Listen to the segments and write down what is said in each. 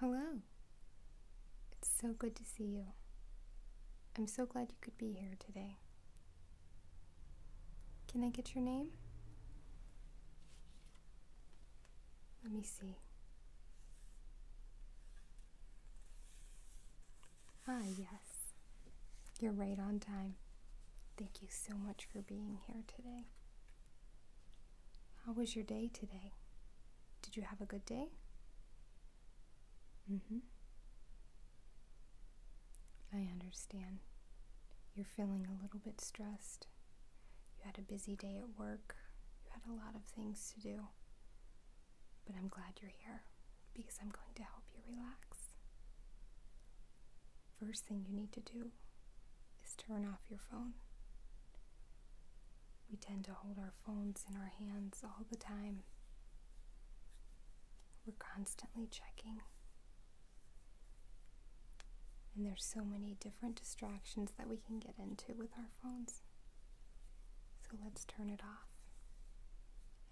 Hello. It's so good to see you. I'm so glad you could be here today. Can I get your name? Let me see. Ah, yes. You're right on time. Thank you so much for being here today. How was your day today? Did you have a good day? Mm hmm. I understand. You're feeling a little bit stressed. You had a busy day at work. You had a lot of things to do. But I'm glad you're here because I'm going to help you relax. First thing you need to do is turn off your phone. We tend to hold our phones in our hands all the time. We're constantly checking and there's so many different distractions that we can get into with our phones. So let's turn it off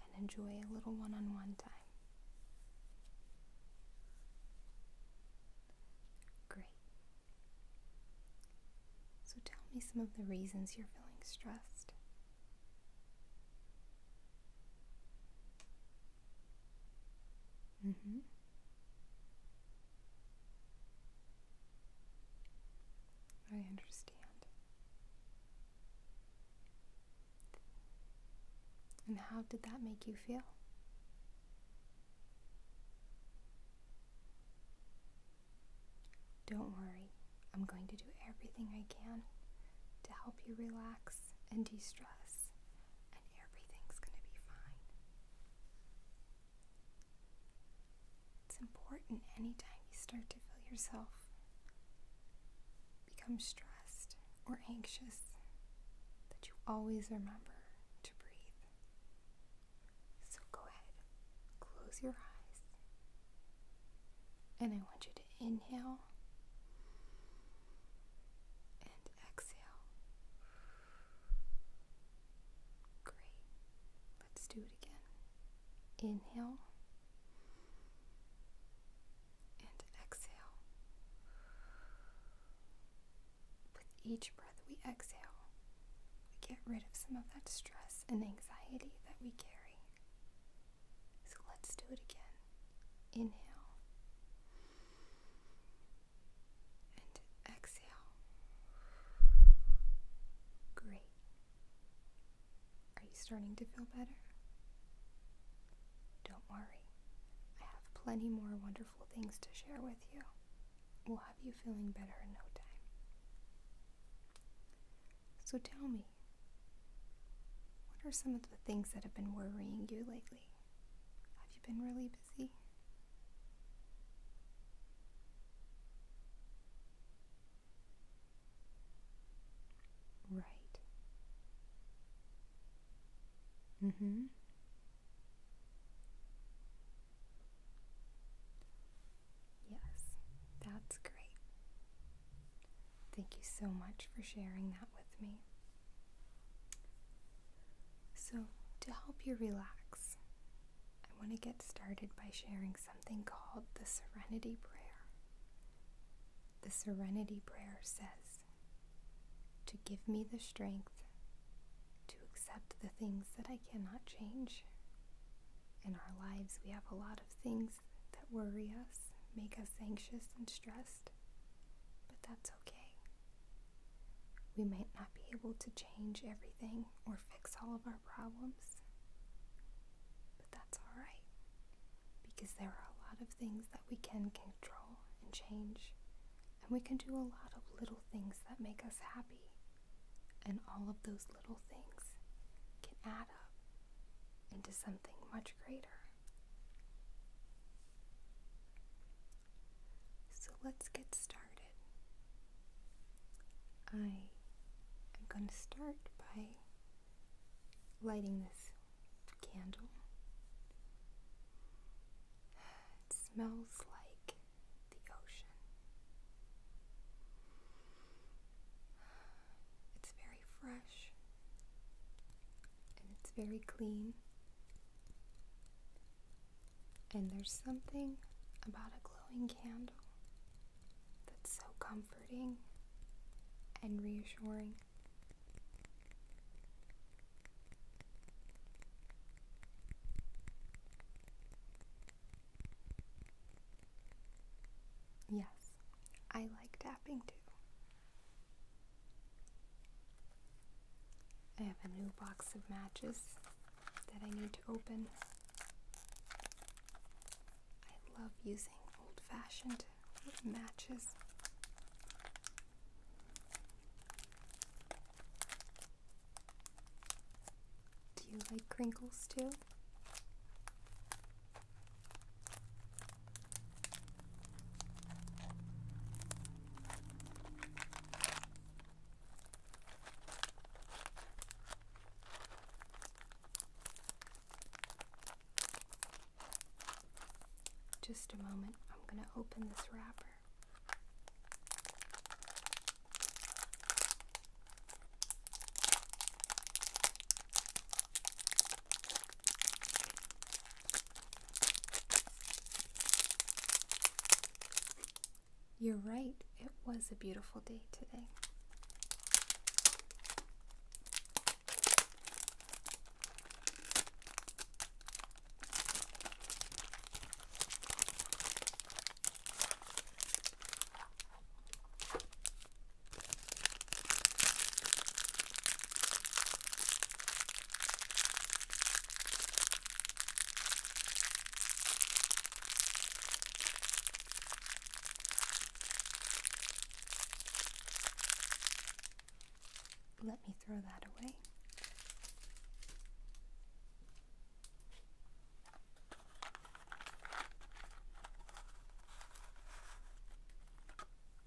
and enjoy a little one on one time. Great. So tell me some of the reasons you're feeling stressed. Mm-hmm. I understand. And how did that make you feel? Don't worry, I'm going to do everything I can to help you relax and de stress and everything's going to be fine. It's important anytime you start to feel yourself become stressed or anxious that you always remember to breathe. So go ahead, close your eyes, and I want you to inhale and exhale. Great. Let's do it again. Inhale and exhale. With each breath we exhale, we get rid of some of that stress and anxiety that we carry. So let's do it again. Inhale and exhale. Great. Are you starting to feel better? Don't worry, I have plenty more wonderful things to share with you. We'll have you feeling better in no time. So tell me, what are some of the things that have been worrying you lately? Have you been really busy? Right. Mm hmm. Yes, that's great. Thank you so much for sharing that with me. So, to help you relax, I want to get started by sharing something called the Serenity Prayer. The Serenity Prayer says, To give me the strength to accept the things that I cannot change. In our lives, we have a lot of things that worry us, make us anxious and stressed, but that's okay. We might not be able to change everything or fix all of our problems, but that's all right because there are a lot of things that we can control and change, and we can do a lot of little things that make us happy. And all of those little things can add up into something much greater. So let's get started. I am going to start by lighting this candle. It smells like the ocean. It's very fresh and it's very clean and there's something about a glowing candle that's so comforting and reassuring. Yes, I like tapping too. I have a new box of matches that I need to open. I love using old fashioned matches. Do you like crinkles too? Just a moment, I'm going to open this wrapper. You're right, it was a beautiful day today. Let me throw that away.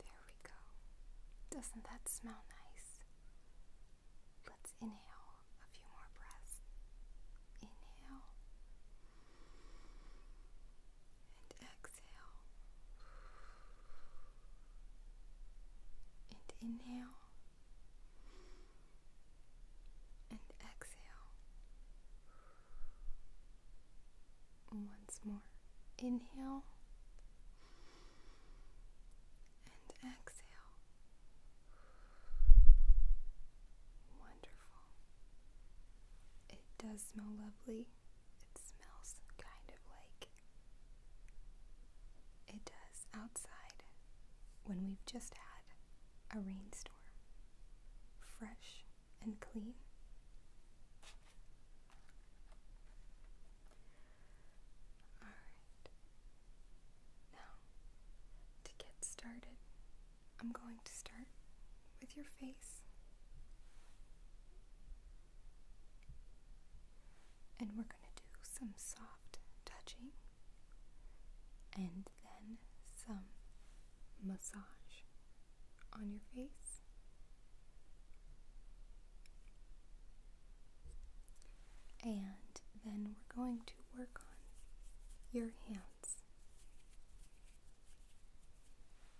There we go. Doesn't that smell nice? Let's inhale a few more breaths. Inhale and exhale and inhale and exhale. Once more, inhale and exhale. Wonderful. It does smell lovely. It smells kind of like it does outside when we've just had a rainstorm. Fresh and clean. Alright. Now, to get started, I'm going to start with your face and we're going to do some soft touching and then some massage on your face. And then we're going to work on your hands.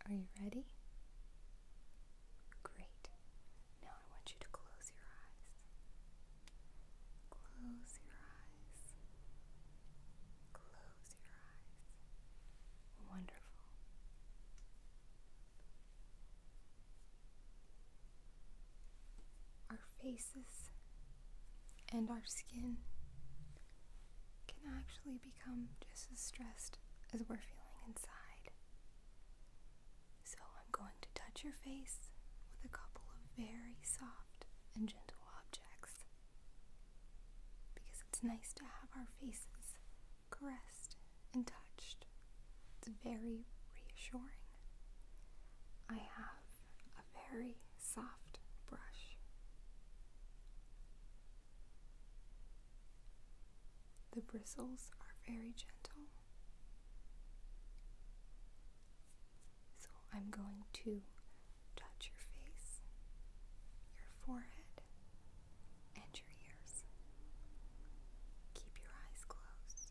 Are you ready? Great. Now I want you to close your eyes. Close your eyes. Close your eyes. Wonderful. Our faces and our skin can actually become just as stressed as we're feeling inside. So I'm going to touch your face with a couple of very soft and gentle objects because it's nice to have our faces caressed and touched. It's very reassuring. I have a very soft brush. The bristles are very gentle. So I'm going to touch your face, your forehead, and your ears. Keep your eyes closed.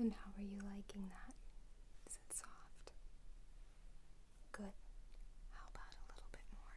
And how are you liking that? Is it soft? Good. How about a little bit more?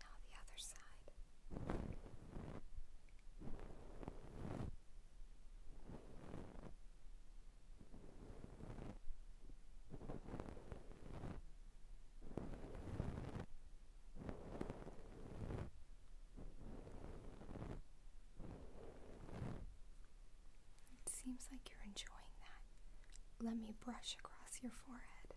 Now the other side. It seems like you're enjoying that. Let me brush across your forehead.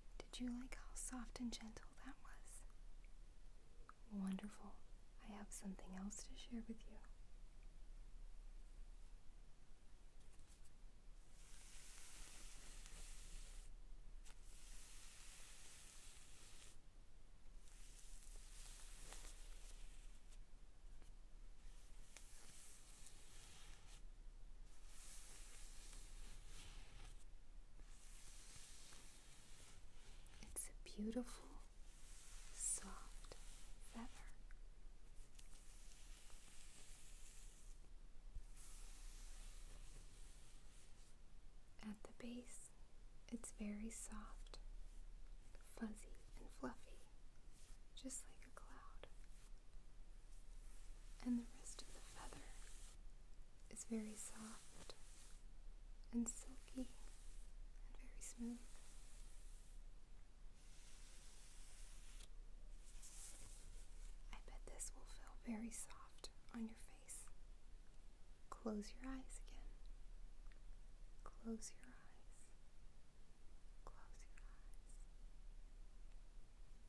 Did you like how soft and gentle that was? Wonderful. I have something else to share with you. It's a beautiful, soft feather. At the base, it's very soft, fuzzy, and fluffy, just like a cloud and the rest of the feather is very soft and silky and very smooth. I bet this will feel very soft on your face. Close your eyes again. Close your eyes. Close your eyes.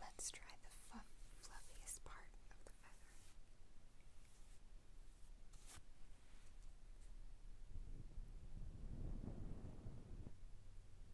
Let's try the fluff fluffiest part of the feather.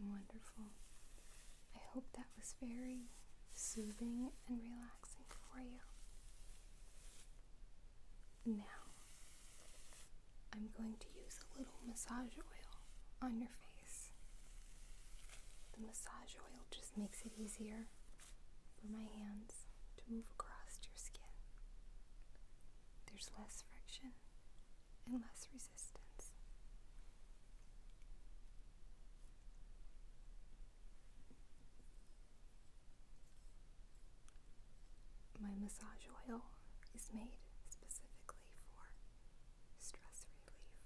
Wonderful. I hope that was very soothing and relaxing for you. Now, I'm going to use a little massage oil on your face. The massage oil just makes it easier for my hands to move across your skin. There's less friction and less resistance. My massage oil is made specifically for stress relief.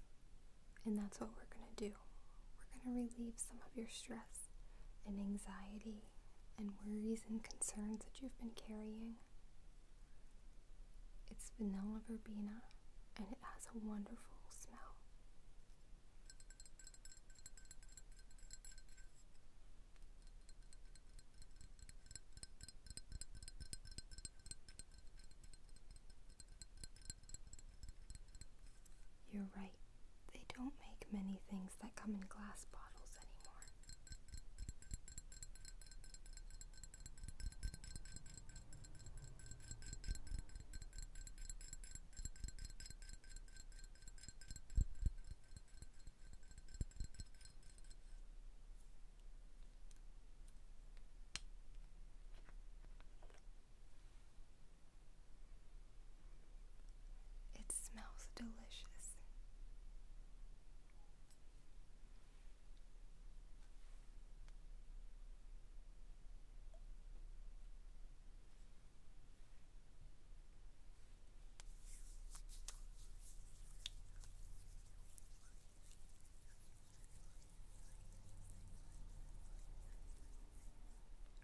And that's what we're going to do. We're going to relieve some of your stress and anxiety and worries and concerns that you've been carrying. It's vanilla verbena and it has a wonderful smell. You're right. They don't make many things that come in glass bottles anymore. It smells delicious.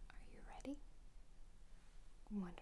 Are you ready? Wonderful.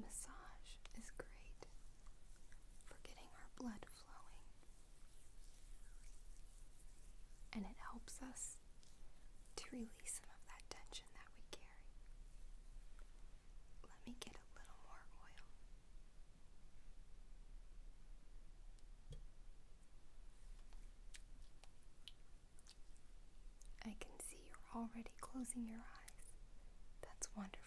Massage is great for getting our blood flowing, and it helps us to release some of that tension that we carry. Let me get a little more oil. I can see you're already closing your eyes. That's wonderful.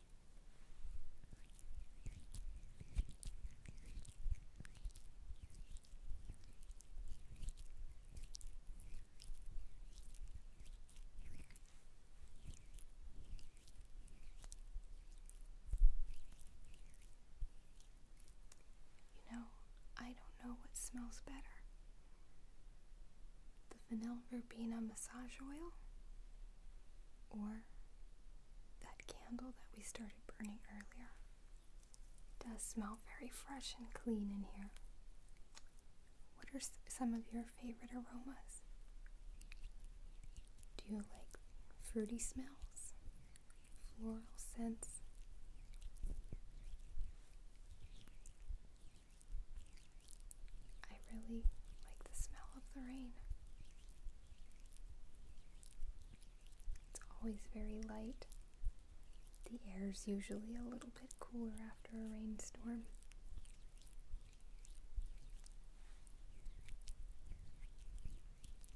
You know, I don't know what smells better the vanilla rubina massage oil or that candle that we started burning earlier. does smell very fresh and clean in here. What are some of your favorite aromas? Do you like fruity smells, floral scents? I really like the smell of the rain. It's always very light. The air's usually a little bit cooler after a rainstorm.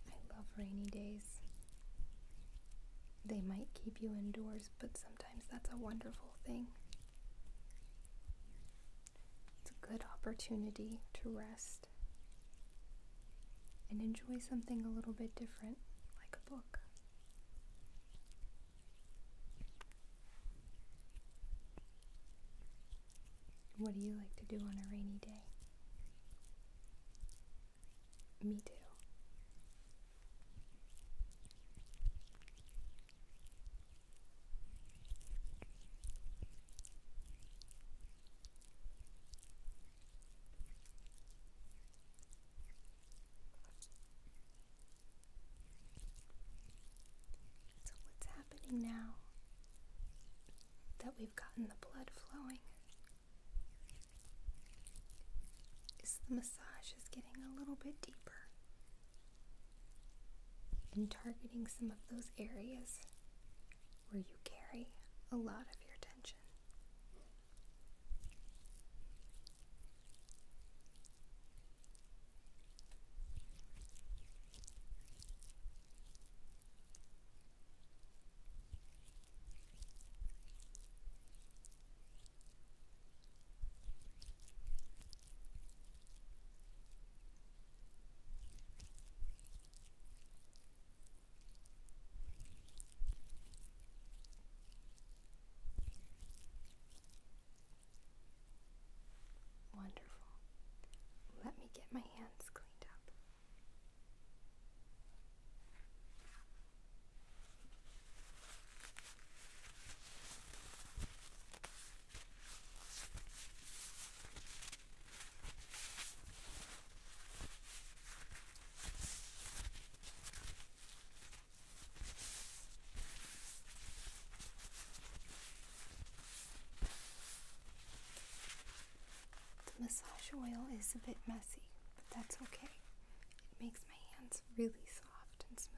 I love rainy days. They might keep you indoors, but sometimes that's a wonderful thing. It's a good opportunity to rest and enjoy something a little bit different, like a book. What do you like to do on a rainy day? Me too. So, what's happening now that we've gotten the blood flowing? Is the massage is getting a little bit deeper and targeting some of those areas where you carry a lot of your tension. Wonderful. Let me get my hands cleaned up. The massage oil is a bit messy, but that's okay. It makes my hands really soft and smooth.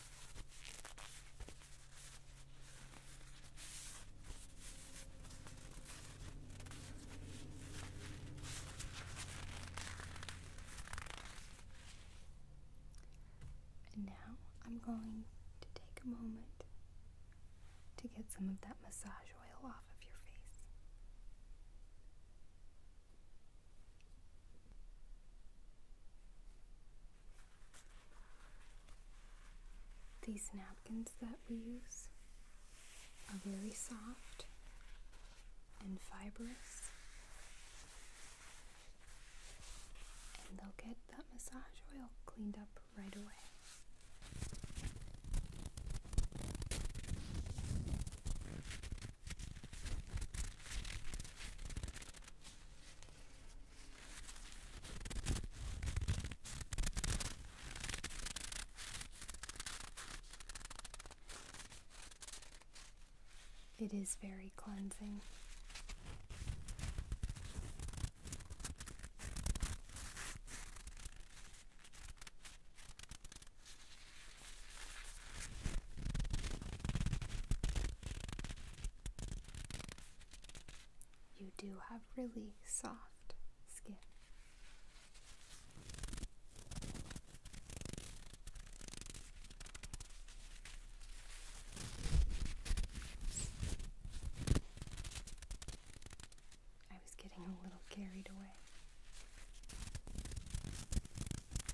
now I'm going to take a moment to get some of that massage oil off of your face. These napkins that we use are very soft and fibrous, and they'll get that massage oil cleaned up right away. It is very cleansing. You do have really soft skin. I was getting a little carried away.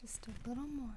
Just a little more.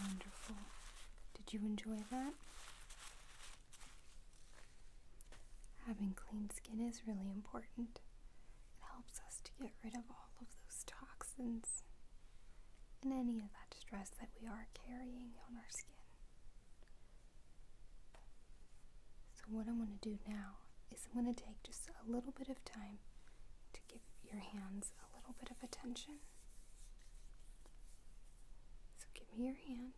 Wonderful. Did you enjoy that? Having clean skin is really important. It helps us to get rid of all of those toxins and any of that stress that we are carrying on our skin. So, what I'm going to do now is I'm going to take just a little bit of time to give your hands a little bit of attention. So give me your hand.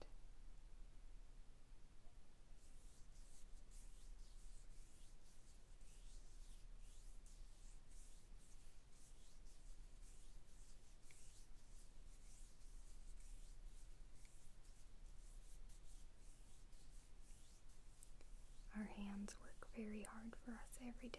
Our hands work very hard for us every day.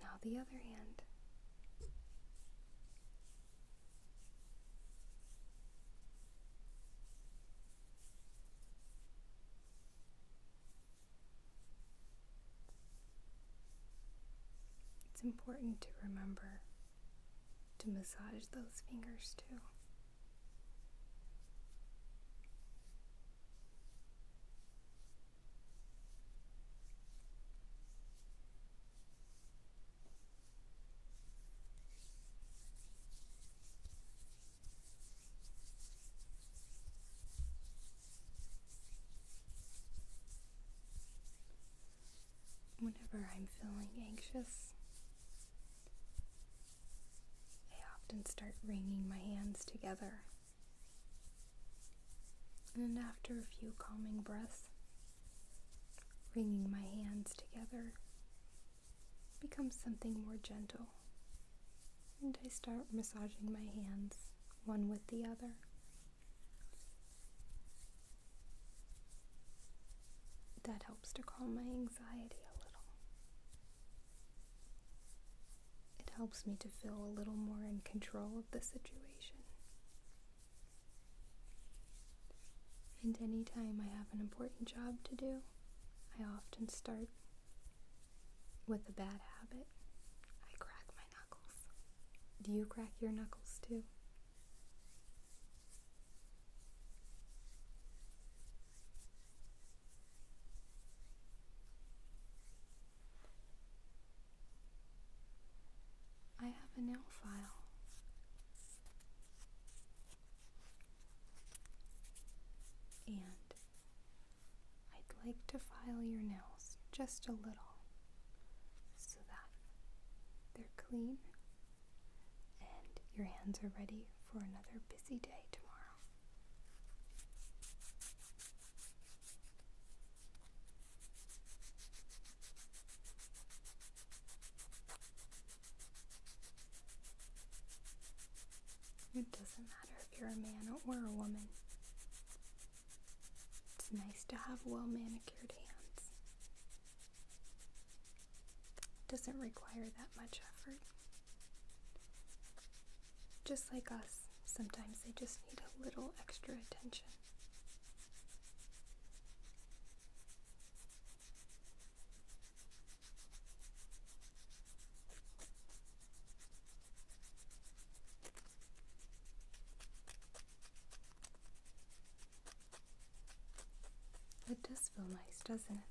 Now the other hand. It's important to remember to massage those fingers too. Whenever I'm feeling anxious, I often start wringing my hands together. And then, after a few calming breaths, wringing my hands together becomes something more gentle. And I start massaging my hands one with the other. That helps to calm my anxiety a little. It helps me to feel a little more in control of the situation. And anytime I have an important job to do, I often start with a bad habit. I crack my knuckles. Do you crack your knuckles too? I have a nail file. And I'd like to file your nails just a little so that they're clean and your hands are ready for another busy day tomorrow. It doesn't matter if you're a man or a woman. It's nice to have well manicured hands. It doesn't require that much effort. Just like us, sometimes they just need a little extra attention. It does feel nice, doesn't it?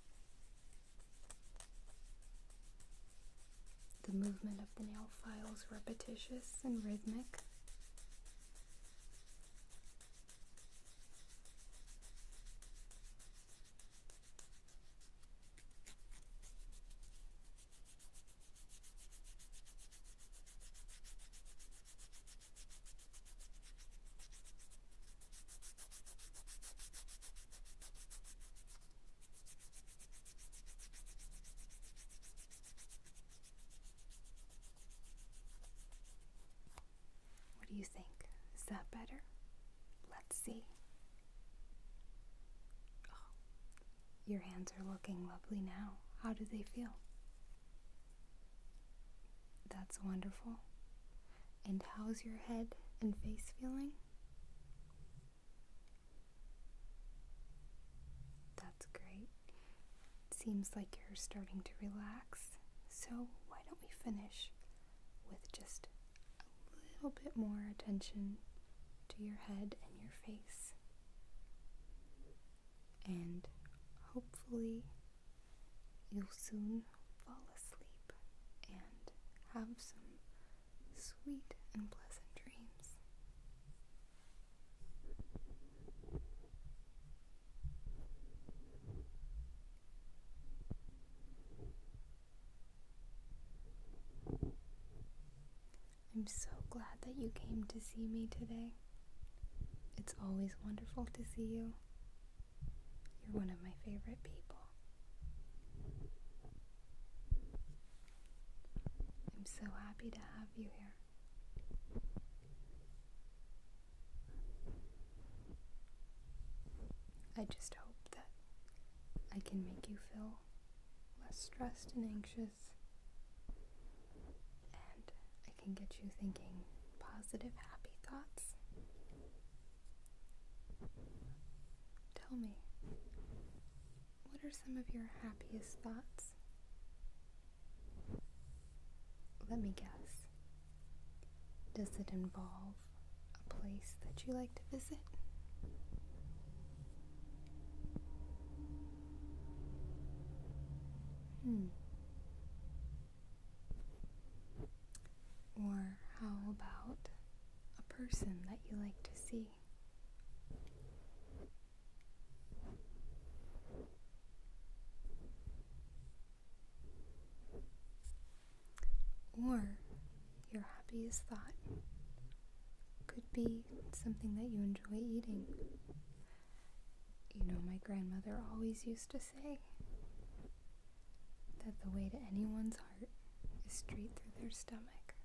The movement of the nail files repetitious and rhythmic. What do you think? Is that better? Let's see. Oh, your hands are looking lovely now. How do they feel? That's wonderful. And how's your head and face feeling? That's great. It seems like you're starting to relax. So, why don't we finish with just a little bit more attention to your head and your face? And hopefully, you'll soon fall asleep and have some Sweet and pleasant dreams. I'm so glad that you came to see me today. It's always wonderful to see you. You're one of my favorite people. I'm so happy to have you here. I just hope that I can make you feel less stressed and anxious, and I can get you thinking positive, happy thoughts Tell me, what are some of your happiest thoughts? Let me guess. Does it involve a place that you like to visit? Hmm. Or how about a person that you like to see. Or your happiest thought could be something that you enjoy eating. You know, my grandmother always used to say, that the way to anyone's heart is straight through their stomach.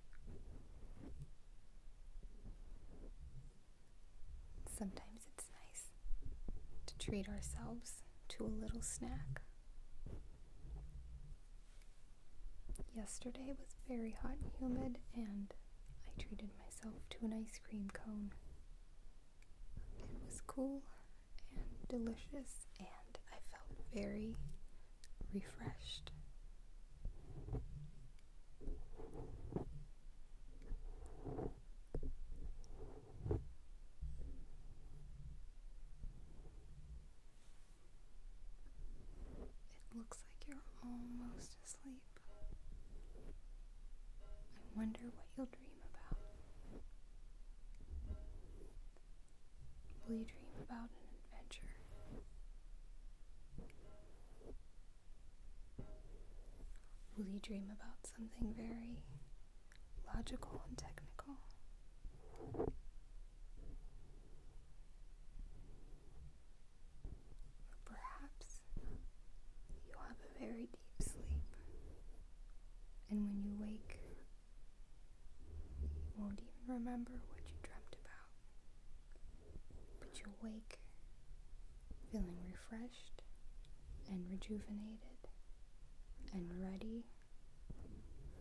Sometimes it's nice to treat ourselves to a little snack. Yesterday was very hot and humid, and I treated myself to an ice cream cone. It was cool and delicious, and I felt very refreshed. It looks like you're almost asleep. I wonder what you'll dream about. Will you dream about an adventure? Will you dream about something very logical and technical? Or perhaps you have a very deep sleep, and when you wake, you won't even remember what you dreamt about. But you wake feeling refreshed and rejuvenated and ready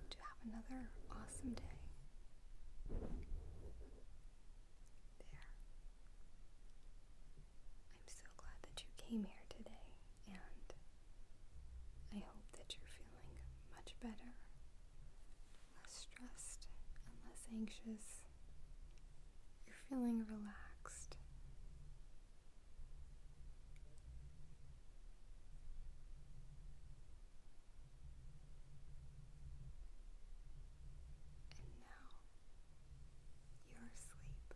to have another awesome day. There. I'm so glad that you came here today and I hope that you're feeling much better, less stressed, and less anxious. You're feeling relaxed. And now you're asleep.